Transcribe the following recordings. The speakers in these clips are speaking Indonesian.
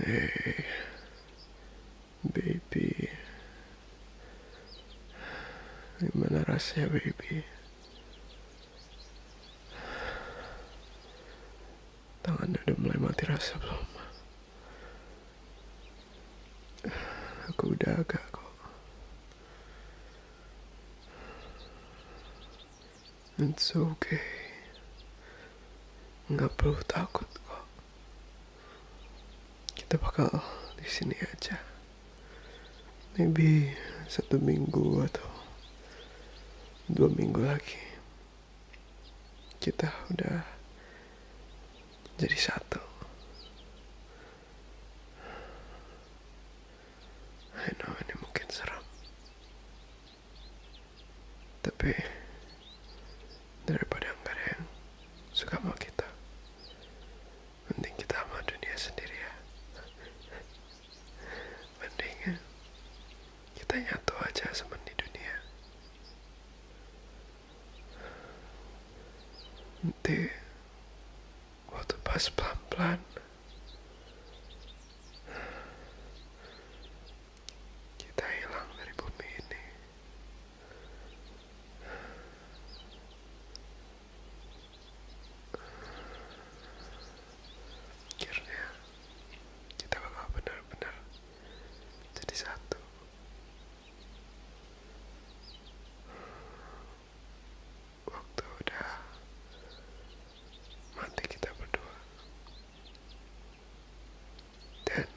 Hey, eh, baby. Gimana rasanya, baby? Tangannya udah mulai mati rasa belum? Aku udah agak kok. It's okay. Nggak perlu takut kok. Kita bakal di sini aja. Maybe satu minggu atau dua minggu lagi kita udah jadi satu. I know ini mungkin seram. Tapi daripada nggak ada suka mau kita, mending kita sama dunia sendiri ya. mending ya kita nyatu aja semen di dunia nanti waktu pas pelan-pelan kita hilang dari bumi ini akhirnya kita bakal benar-benar jadi satu waktu udah mati kita berdua dan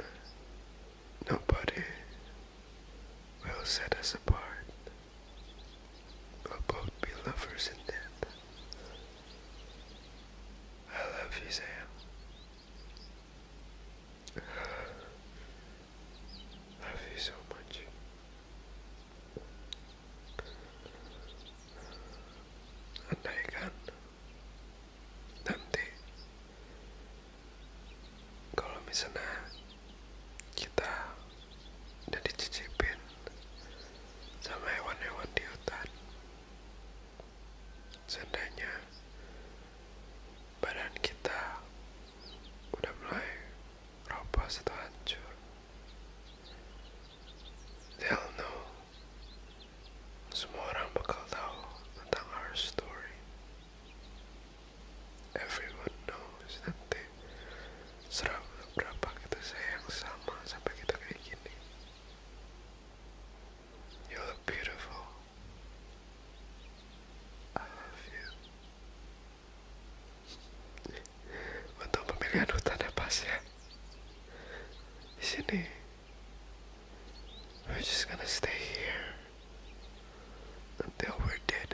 nobody will set us apart we'll both be lovers in death I love you, Sam. Love you so much. nanti kalau misalnya kita dan dicicipin sama hewan-hewan di hutan. Seandainya badan kita udah mulai roboh atau hancur, They all know. Semua orang bakal tahu tentang our story. Everyone knows that they serap berapa kita sayang sama sampai kita kayak gini you look beautiful I love you untuk pemilihan hutan ya pas ya di sini we're just gonna stay here until we're dead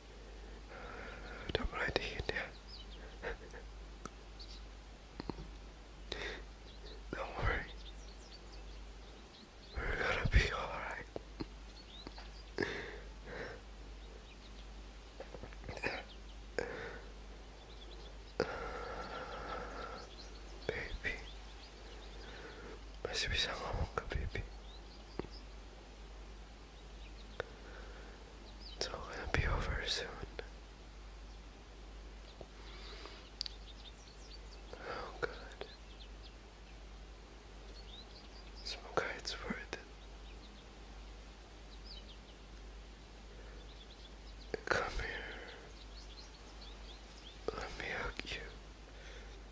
Don't mind Don't worry. We're gonna be alright. Baby, I should ngomong ke Bibi. It's all gonna be over soon. Oh, good. Smokai, it's worth it. Come here. Let me hug you.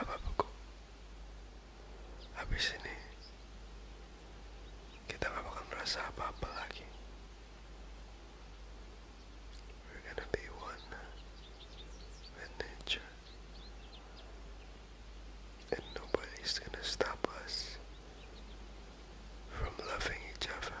apa-apa Habis ini, kita gak bakal merasa apa-apa lagi. We're gonna be one with nature. And nobody's gonna stop us from loving each other.